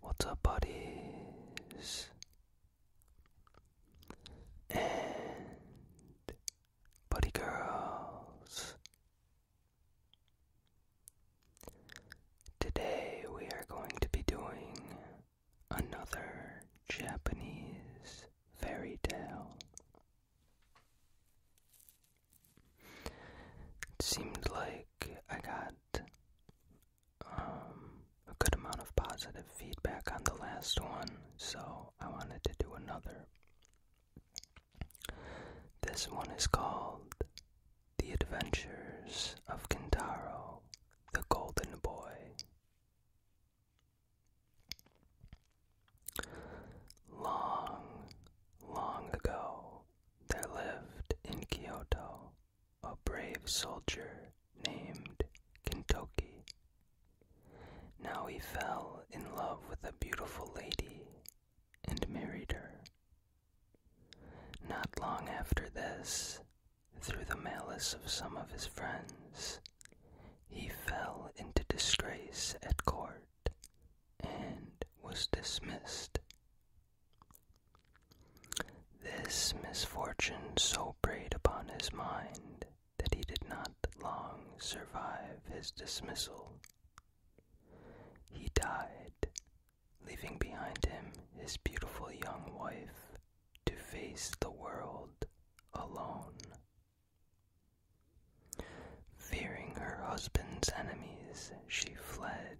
What's up, buddies? And buddy girls. Today we are going to be doing another Japanese fairy tale. It seemed like I got um, a good amount of positive feedback on the last one, so I wanted to do another. This one is called The Adventures of Kintaro, the Golden Boy. Long, long ago, there lived in Kyoto a brave soldier named Kentucky. Now he fell in love with a beautiful lady and married her. Not long after this, through the malice of some of his friends, he fell into disgrace at court and was dismissed this misfortune so preyed upon his mind that he did not long survive his dismissal. He died, leaving behind him his beautiful young wife to face the world alone. Fearing her husband's enemies, she fled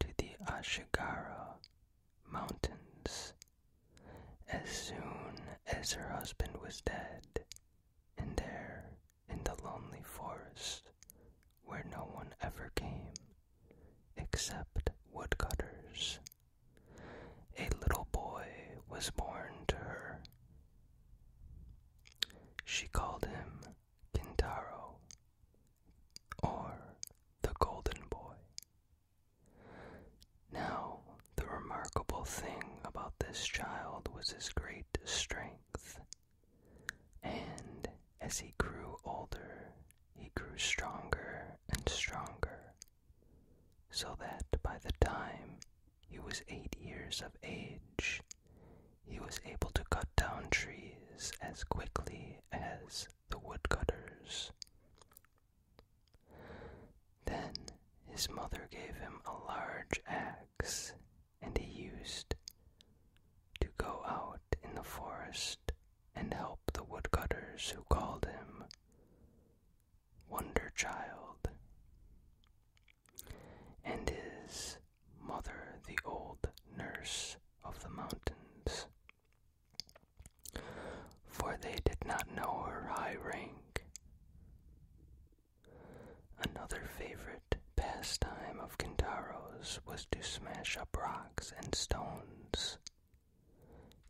to the Ashigara Mountains. As soon as her husband was dead, and there, in the lonely forest, where no one ever came except woodcutters, a little boy was born to her. She called him Kintaro, or the golden boy. Now, the remarkable thing about this child was his great strength, and as he grew older, he grew stronger and stronger, so that by the time he was eight years of age, he was able to cut down trees as quickly as the woodcutters. Then his mother gave him a large axe, and he used to go out in the forest and help the woodcutters who called him Wonder Child. And his mother, the old nurse of the mountains, for they did not know her high rank. Another favorite pastime of Kintaro's was to smash up rocks and stones.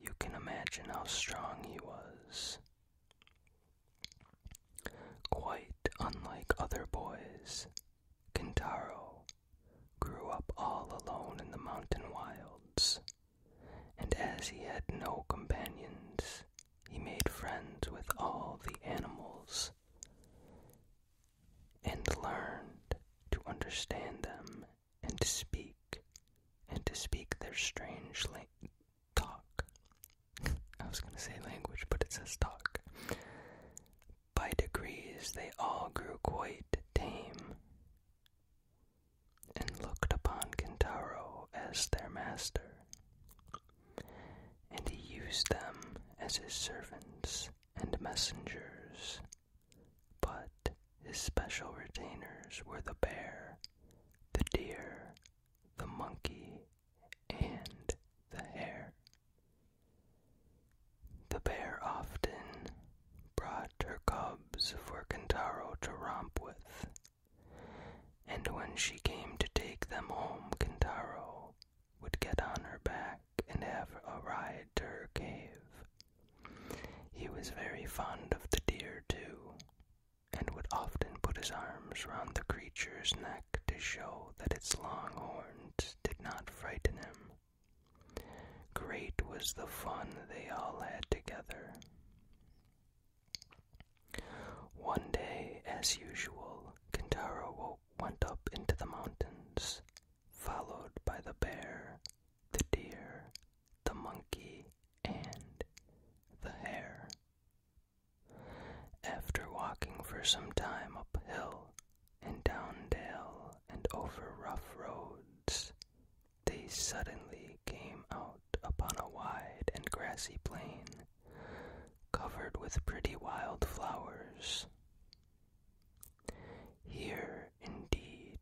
You can imagine how strong he was. Quite unlike other boys, Kentaro grew up all alone in the mountain wilds, and as he had no companions, he made friends with all the animals and learned to understand them and to speak and to speak their strange talk. I was going to say language, but it says talk. By degrees they all grew quite tame, and looked upon Kintaro as their master, and he used them as his servants and messengers. But his special retainers were the bear, the deer, the monkey, and the hare. The bear often brought her cubs for Kintaro to romp with, and when she came to take them home, Kintaro would get on her back and have a ride to her cave. He was very fond of the deer, too, and would often put his arms round the creature's neck to show that its long horns did not frighten him. Great was the fun they all had together. One day, as usual, Kintaro went up into the mountains, followed by the bear, the deer, the monkey, and the hare. After walking for some time uphill and down dale and over rough roads, they suddenly came out upon a wide and grassy plain, covered with pretty wild flowers. Here, indeed,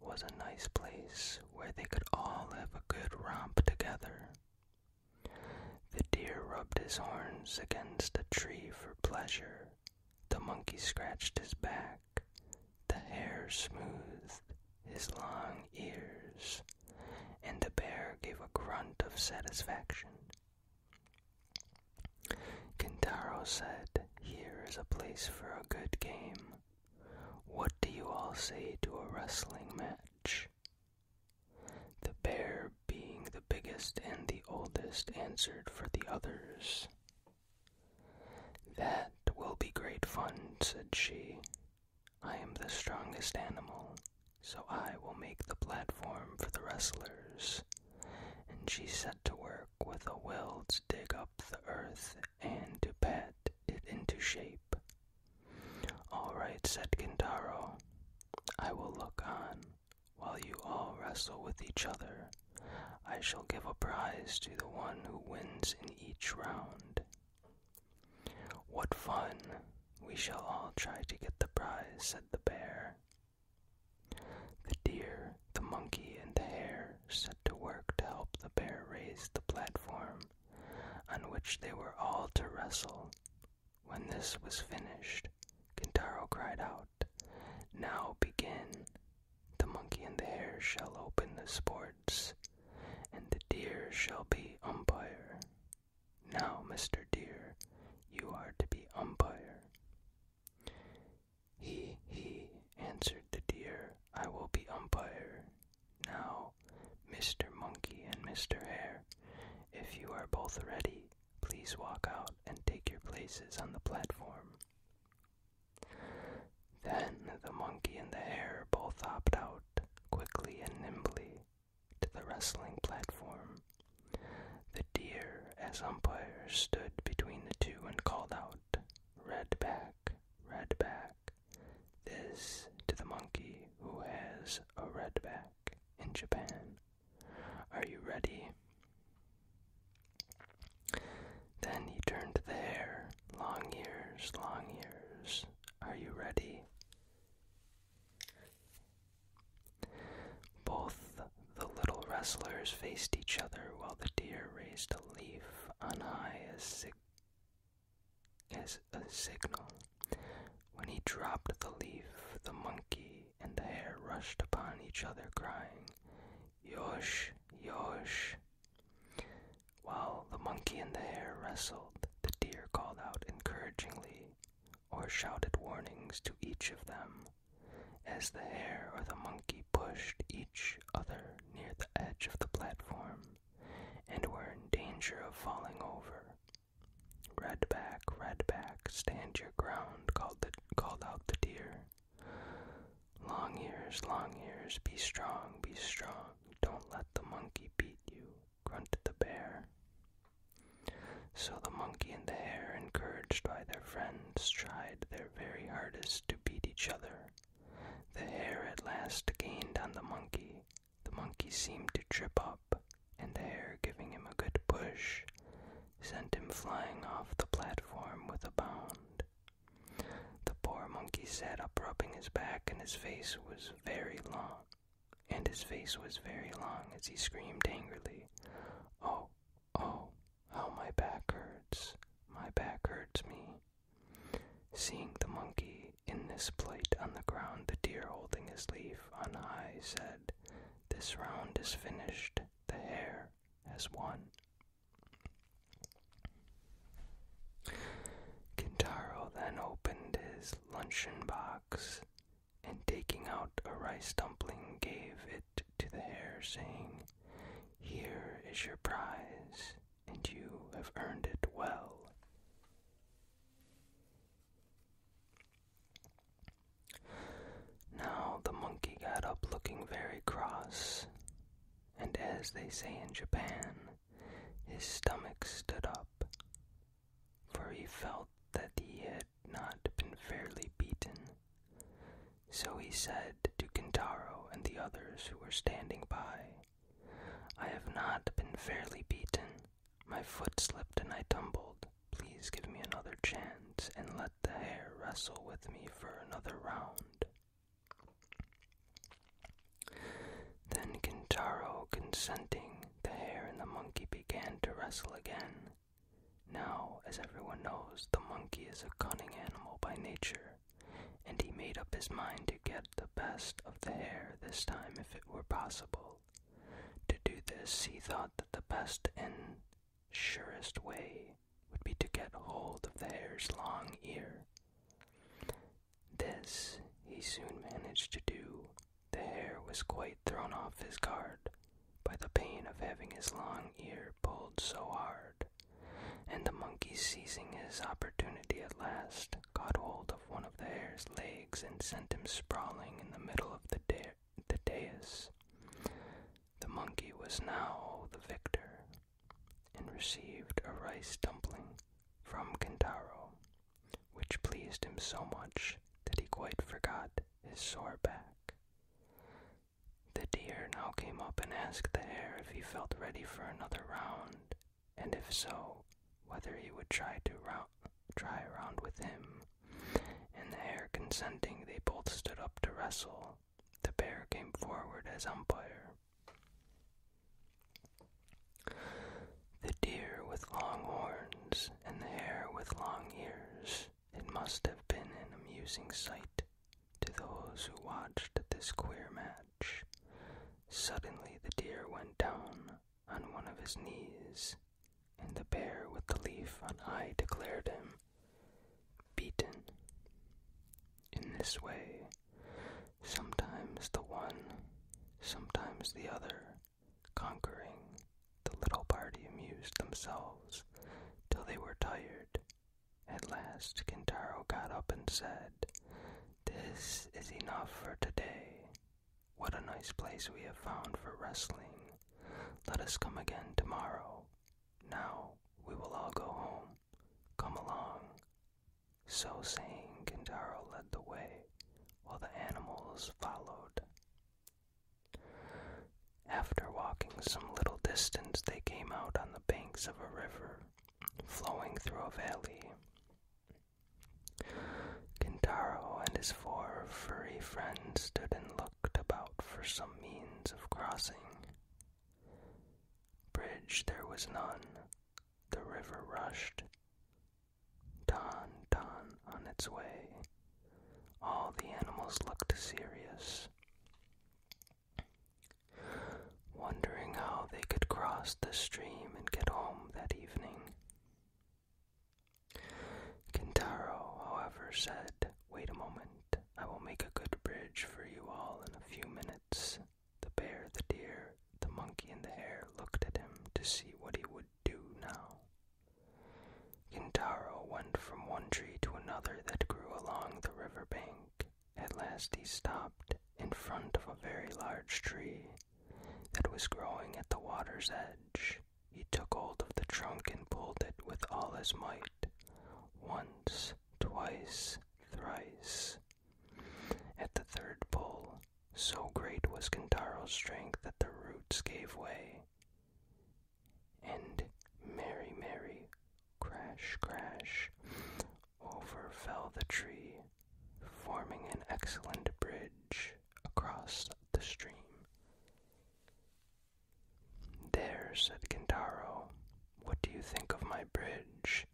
was a nice place where they could all have a good romp together. The deer rubbed his horns against a tree for pleasure, the monkey scratched his back, the hare smoothed his long ears, and the bear gave a grunt of satisfaction. Kintaro said, Here is a place for a good game. What do you all say to a wrestling match? The bear, being the biggest and the oldest, answered for the others. That will be great fun, said she. I am the strongest animal, so I will make the platform for the wrestlers. And she set to work with a will to dig up the earth and to pat it into shape. All right, said Kintaro. I will look on while you all wrestle with each other. I shall give a prize to the one who wins in each round. What fun! We shall all try to get the prize, said the bear. The deer, the monkey, and the hare set to work to help the bear raise the platform, on which they were all to wrestle. When this was finished, Kintaro cried out, now begin. The monkey and the hare shall open the sports, and the deer shall be umpire. Now, Mr. Deer, you are to be umpire. He, he, answered the deer, I will be umpire. Now, Mr. Monkey and Mr. Hare, if you are both ready, please walk out and take your places on the platform. Then the monkey and the hare both hopped out, quickly and nimbly, to the wrestling platform. The deer, as umpire, stood between the two and called out, Red back, red back. This to the monkey who has a red back in Japan. Are you ready? Then he turned to the hare. Long ears, long ears, are you ready? Both the little wrestlers faced each other while the deer raised a leaf on high as, as a signal. When he dropped the leaf, the monkey and the hare rushed upon each other, crying, Yosh, Yosh. While the monkey in the hair wrestled, the deer called out encouragingly or shouted warnings to each of them. As the hare or the monkey pushed each other near the edge of the platform and were in danger of falling over. Red back, red back, stand your ground, called out the deer. Long ears, long ears, be strong, be strong. Don't let the monkey beat you, grunted the bear. So the monkey and the hare, encouraged by their friends, tried their very hardest to beat each other. The hare at last gained on the monkey. The monkey seemed to trip up, and the hare, giving him a good push, sent him flying off the platform with a bound. The poor monkey sat up rubbing his back, and his face was very long. And his face was very long as he screamed angrily, Oh, oh, how my back hurts! My back hurts me. Seeing the monkey in this plight on the ground, the deer holding his leaf on high said, This round is finished, the hare has won. Kintaro then opened his luncheon box and, taking out a rice dumpling, gave it to the hare, saying, Here is your prize, and you have earned it well. Now the monkey got up looking very cross, and as they say in Japan, his stomach stood up, for he felt that he had not been fairly beaten. So he said to Kintaro and the others who were standing by, I have not been fairly beaten. My foot slipped and I tumbled. Please give me another chance and let the hare wrestle with me for another round. Then Kintaro, consenting, the hare and the monkey began to wrestle again. Now, as everyone knows, the monkey is a cunning animal by nature, and he made up his mind to get the best of the hare this time if it were possible. To do this, he thought that the best and surest way would be to get hold of the hare's long ear. This he soon managed to do. The hare was quite thrown off his guard by the pain of having his long ear pulled so hard, and the monkey, seizing his opportunity at last, got hold of one of the hare's legs and sent him sprawling in the middle of the, the dais. The monkey was now the victor, and received a rice dumpling from Kentaro, which pleased him so much that he quite forgot his sore back. The deer now came up and asked the hare if he felt ready for another round, and if so, whether he would try to try a round with him. And the hare consenting, they both stood up to wrestle, the bear came forward as umpire. The deer with long horns and the hare with long ears. It must have been an amusing sight to those who watched this queer match. Suddenly the deer went down on one of his knees, and the bear with the leaf on high declared him beaten. In this way, sometimes the one, sometimes the other, conquering, the little party amused themselves till they were tired. At last Kintaro got up and said, This is enough for today. What a nice place we have found for wrestling. Let us come again tomorrow. Now we will all go home. Come along. So saying, Kintaro led the way, while the animals followed. After walking some little distance, they came out on the banks of a river flowing through a valley. Kintaro and his four furry friends stood and looked about for some means of crossing. Bridge there was none, the river rushed. Dawn, dawn on its way. All the animals looked serious, wondering how they could cross the stream and get home that evening. Kintaro, however, said, Wait a moment, I will make a good bridge for you all in a few minutes. The bear, the deer, the monkey, and the hare looked at him to see what he would do now. Kintaro went from one tree to another that grew along the river bank. At last he stopped in front of a very large tree that was growing at the water's edge. He took hold of the trunk and pulled it with all his might. Once, twice, thrice. At the third pull, so great was Kintaro's strength that the roots gave way. And merry, merry, crash, crash, over fell the tree, forming an excellent bridge across the stream. There, said Kintaro, what do you think of my bridge?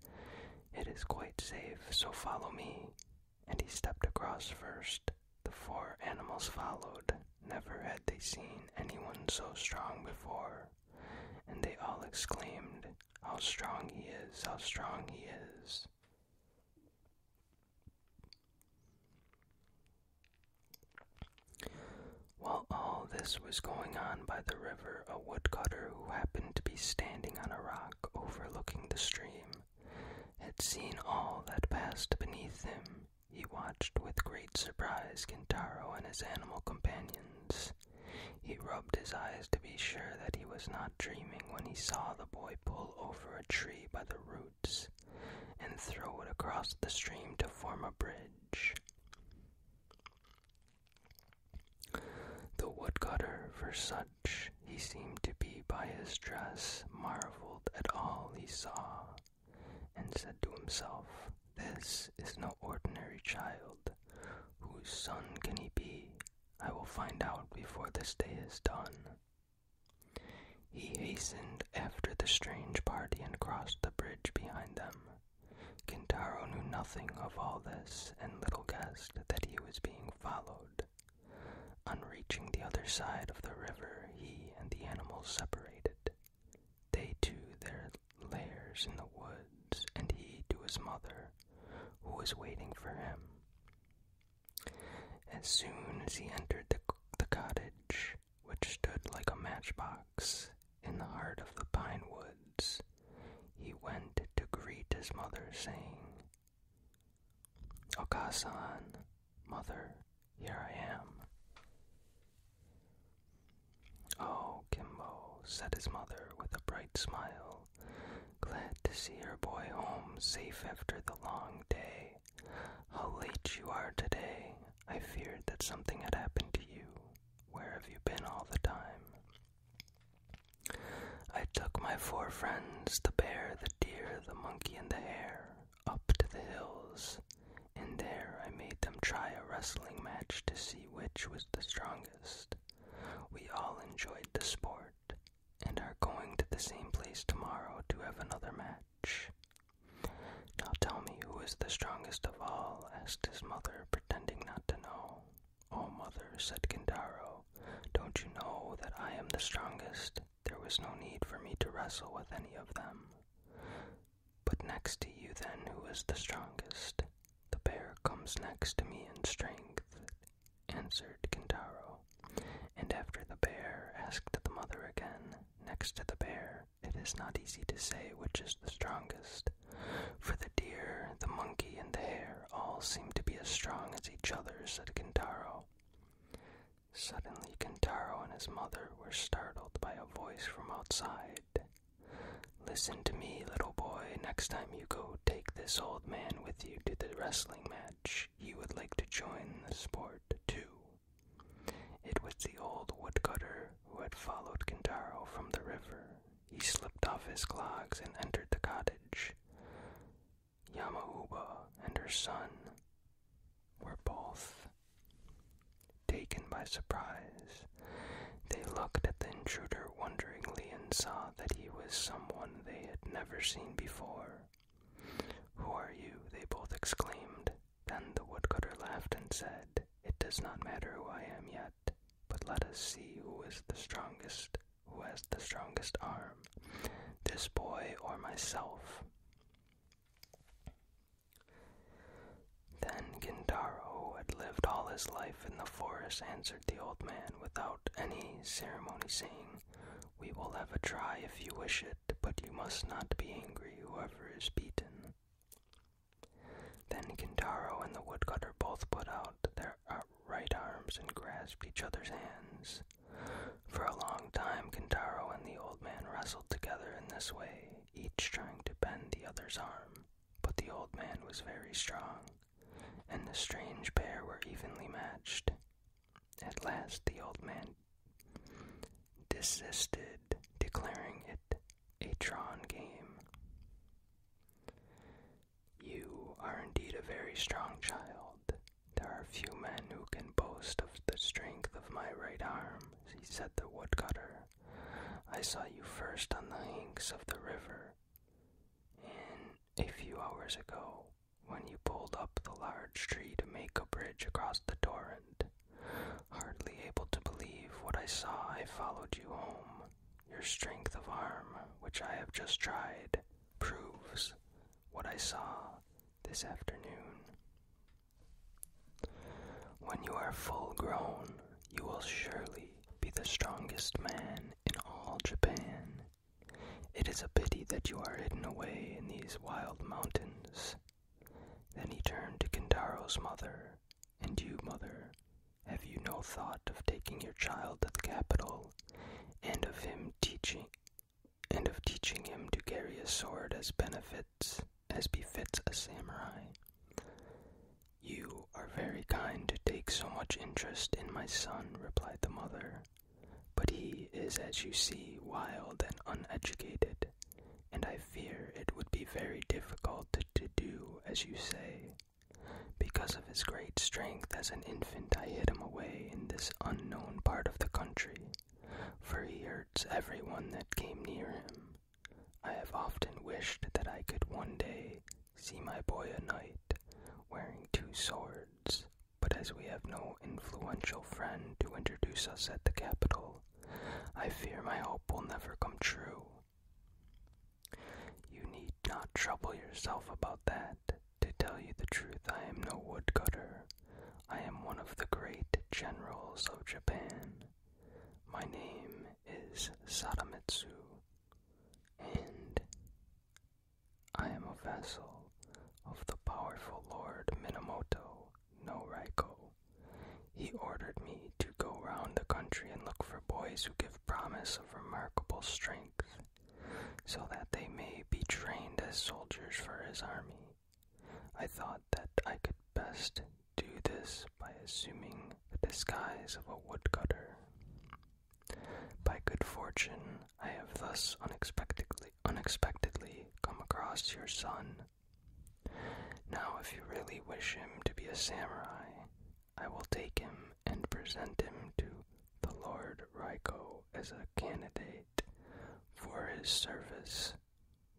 It is quite safe, so follow me. And he stepped across first. The four animals followed. Never had they seen anyone so strong before. And they all exclaimed, How strong he is! How strong he is! While all this was going on by the river a woodcutter who happened to be standing on a rock overlooking the stream had seen all that passed beneath him. He watched with great surprise Kintaro and his animal companions. He rubbed his eyes to be sure that he was not dreaming when he saw the boy pull over a tree by the roots and throw it across the stream to form a bridge. The woodcutter, for such he seemed to be by his dress, marvelled at all he saw, and said to himself, This is no ordinary child. Whose son can he be? I will find out before this day is done. He hastened after the strange party and crossed the bridge behind them. Kintaro knew nothing of all this and little guessed that he was being followed. On reaching the other side of the river, he and the animals separated. They to their lairs in the woods, and he to his mother, who was waiting for him. As soon as he entered the cottage, which stood like a matchbox, in the heart of the pine woods, he went to greet his mother, saying, Okasan, mother, here I am. Oh, Kimbo, said his mother with a bright smile, glad to see her boy home safe after the long day. How late you are today. I feared that something had happened to you. Where have you been all the time? I took my four friends, the bear, the deer, the monkey, and the hare, up to the hills, and there I made them try a wrestling match to see which was the strongest. We all enjoyed the sport and are going to the same place tomorrow to have another match. Now tell me who is the strongest of all, asked his mother, pretending not to know. Oh, mother, said Gindaro, don't you know that I am the strongest? There was no need for me to wrestle with any of them. But next to you, then, who is the strongest? The bear comes next to me in strength, answered Kintaro. And after the bear, asked the mother again, next to the bear, it is not easy to say which is the strongest. For the deer, the monkey, and the hare all seem to be as strong as each other, said Kintaro. Suddenly, Kintaro and his mother were startled by a voice from outside. Listen to me, little boy. Next time you go, take this old man with you to the wrestling match. He would like to join the sport, too. It was the old woodcutter who had followed Kintaro from the river he slipped off his clogs and entered the cottage. Yamauba and her son were both taken by surprise. They looked at the intruder wonderingly and saw that he was someone they had never seen before. Who are you? they both exclaimed. Then the woodcutter laughed and said, It does not matter who I am yet but let us see who is the strongest, who has the strongest arm, this boy or myself. Then Gintaro, who had lived all his life in the forest, answered the old man without any ceremony, saying, We will have a try if you wish it, but you must not be angry, whoever is beaten. Then Kintaro and the woodcutter both put out their uh, their arms and grasped each other's hands. For a long time, Kentaro and the old man wrestled together in this way, each trying to bend the other's arm. But the old man was very strong, and the strange pair were evenly matched. At last, the old man desisted, declaring it a drawn game. You are indeed a very strong child. There are few men who can boast of the strength of my right arm, said the woodcutter. I saw you first on the banks of the river, and a few hours ago, when you pulled up the large tree to make a bridge across the torrent. Hardly able to believe what I saw, I followed you home. Your strength of arm, which I have just tried, proves what I saw this afternoon. When you are full grown, you will surely be the strongest man in all Japan. It is a pity that you are hidden away in these wild mountains. Then he turned to Kintaro's mother, and you, mother, have you no thought of taking your child to the capital, and of him teaching, and of teaching him to carry a sword as benefits as befits a samurai? You are very kind to take so much interest in my son, replied the mother. But he is, as you see, wild and uneducated, and I fear it would be very difficult to do as you say. Because of his great strength as an infant, I hid him away in this unknown part of the country, for he hurts everyone that came near him. I have often wished that I could one day see my boy a knight wearing two swords, but as we have no influential friend to introduce us at the capital, I fear my hope will never come true. You need not trouble yourself about that. To tell you the truth, I am no woodcutter. I am one of the great generals of Japan. My name is Sadamitsu, and I am a vassal of the powerful Lord Minamoto no Raiko. He ordered me to go round the country and look for boys who give promise of remarkable strength so that they may be trained as soldiers for his army. I thought that I could best do this by assuming the disguise of a woodcutter. By good fortune, I have thus unexpectedly, unexpectedly come across your son. Now, if you really wish him to be a samurai, I will take him and present him to the Lord Ryko as a candidate for his service.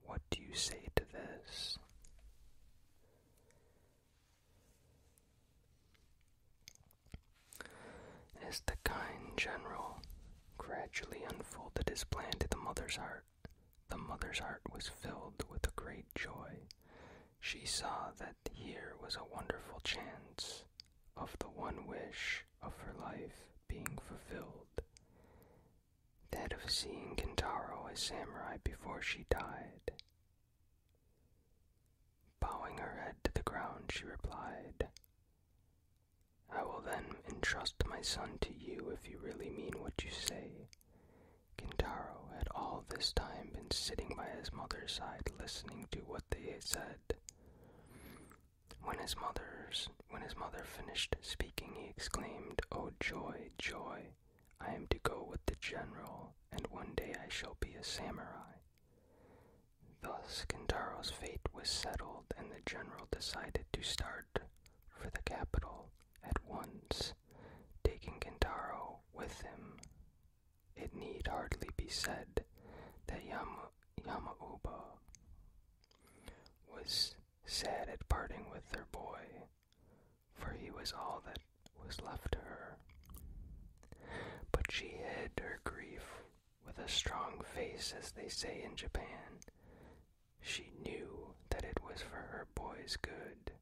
What do you say to this? As the kind general gradually unfolded his plan to the mother's heart, the mother's heart was filled with a great joy. She saw that here was a wonderful chance of the one wish of her life being fulfilled that of seeing Kintaro as samurai before she died. Bowing her head to the ground, she replied, I will then entrust my son to you if you really mean what you say. Kintaro had all this time been sitting by his mother's side listening to what they had said. When his mother's when his mother finished speaking, he exclaimed, "Oh joy, joy! I am to go with the general, and one day I shall be a samurai." Thus Kintaro's fate was settled, and the general decided to start for the capital at once, taking Kintaro with him. It need hardly be said that Yama, Yamauba was sad at parting with her boy, for he was all that was left to her. But she hid her grief with a strong face, as they say in Japan. She knew that it was for her boy's good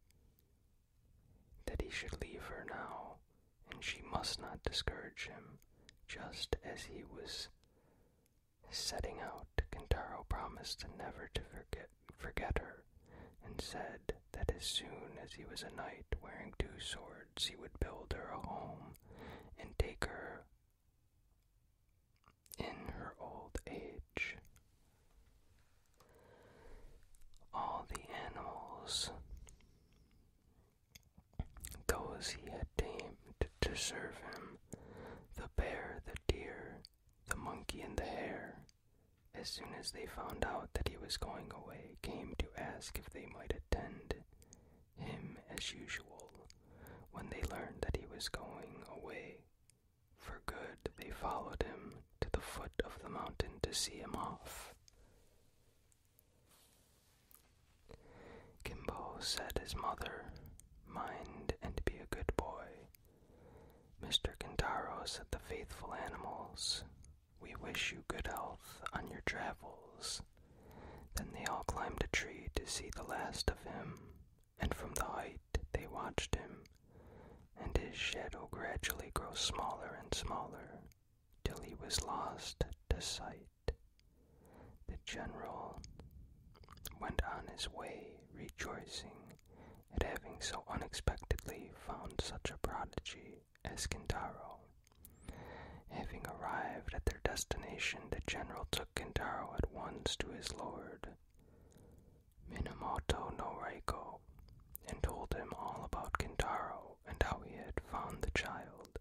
that he should leave her now, and she must not discourage him, just as he was setting out. Kentaro promised never to forget, her, and said that as soon as he was a knight wearing two swords, he would build her a home and take her in her old age. All the animals those he had tamed to serve him the bear, the deer, the monkey, and the hare, as soon as they found out that he was going away, came to ask if they might attend him as usual. When they learned that he was going away for good, they followed him to the foot of the mountain to see him off. Kimbo said his mother, Mind and be a good boy. Mr. Kintaro said the faithful animals, We wish you good health on your travels. Then they all climbed a tree to see the last of him, and from the height they watched him, and his shadow gradually grew smaller and smaller till he was lost to sight. The general went on his way rejoicing at having so unexpectedly found such a prodigy as Kintaro. Having arrived at their destination, the general took Kintaro at once to his lord. Minamoto no Reiko and told him all about Kintaro and how he had found the child.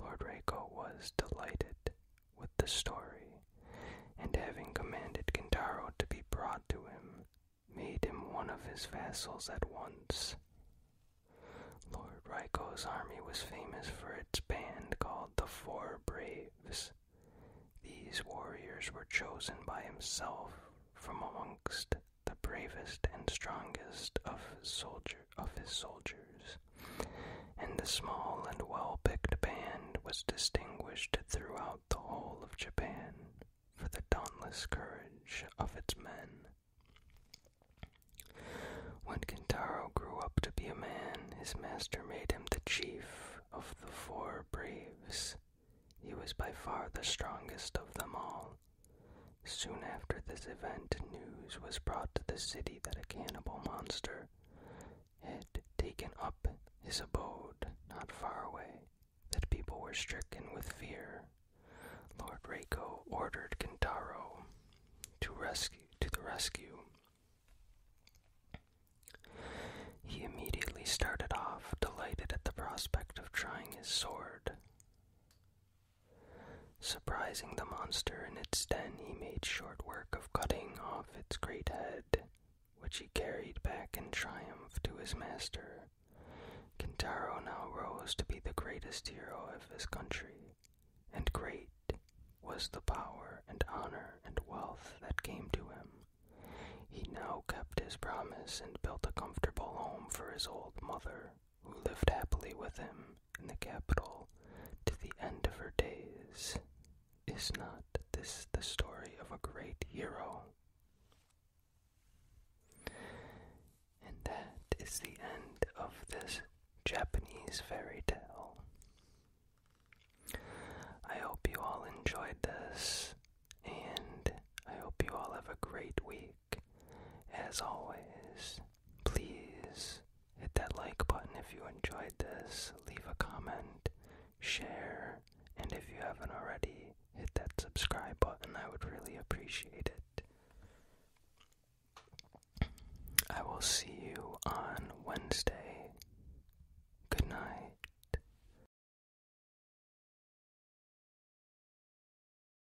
Lord Reiko was delighted with the story, and having commanded Kintaro to be brought to him, made him one of his vassals at once. Lord Raiko's army was famous for its band called the Four Braves. These warriors were chosen by himself from amongst the bravest and strongest of his, of his soldiers, and the small and well picked band was distinguished throughout the whole of Japan for the dauntless courage of its men. When Kintaro grew up to be a man, his master made him the chief of the four braves. He was by far the strongest of them all, Soon after this event, news was brought to the city that a cannibal monster had taken up his abode not far away, that people were stricken with fear. Lord Reiko ordered Kintaro to rescue to the rescue. He immediately started off, delighted at the prospect of trying his sword. Surprising the monster in its den, he made short work of cutting off its great head, which he carried back in triumph to his master. Kintaro now rose to be the greatest hero of his country, and great was the power and honor and wealth that came to him. He now kept his promise and built a comfortable home for his old mother, who lived happily with him in the capital to the end of her days. Is not this the story of a great hero? And that is the end of this Japanese fairy tale. I hope you all enjoyed this, and I hope you all have a great week. As always, please hit that like button if you enjoyed this, leave a comment, share, and if you haven't already, hit that subscribe button. I would really appreciate it. I will see you on Wednesday. Good night.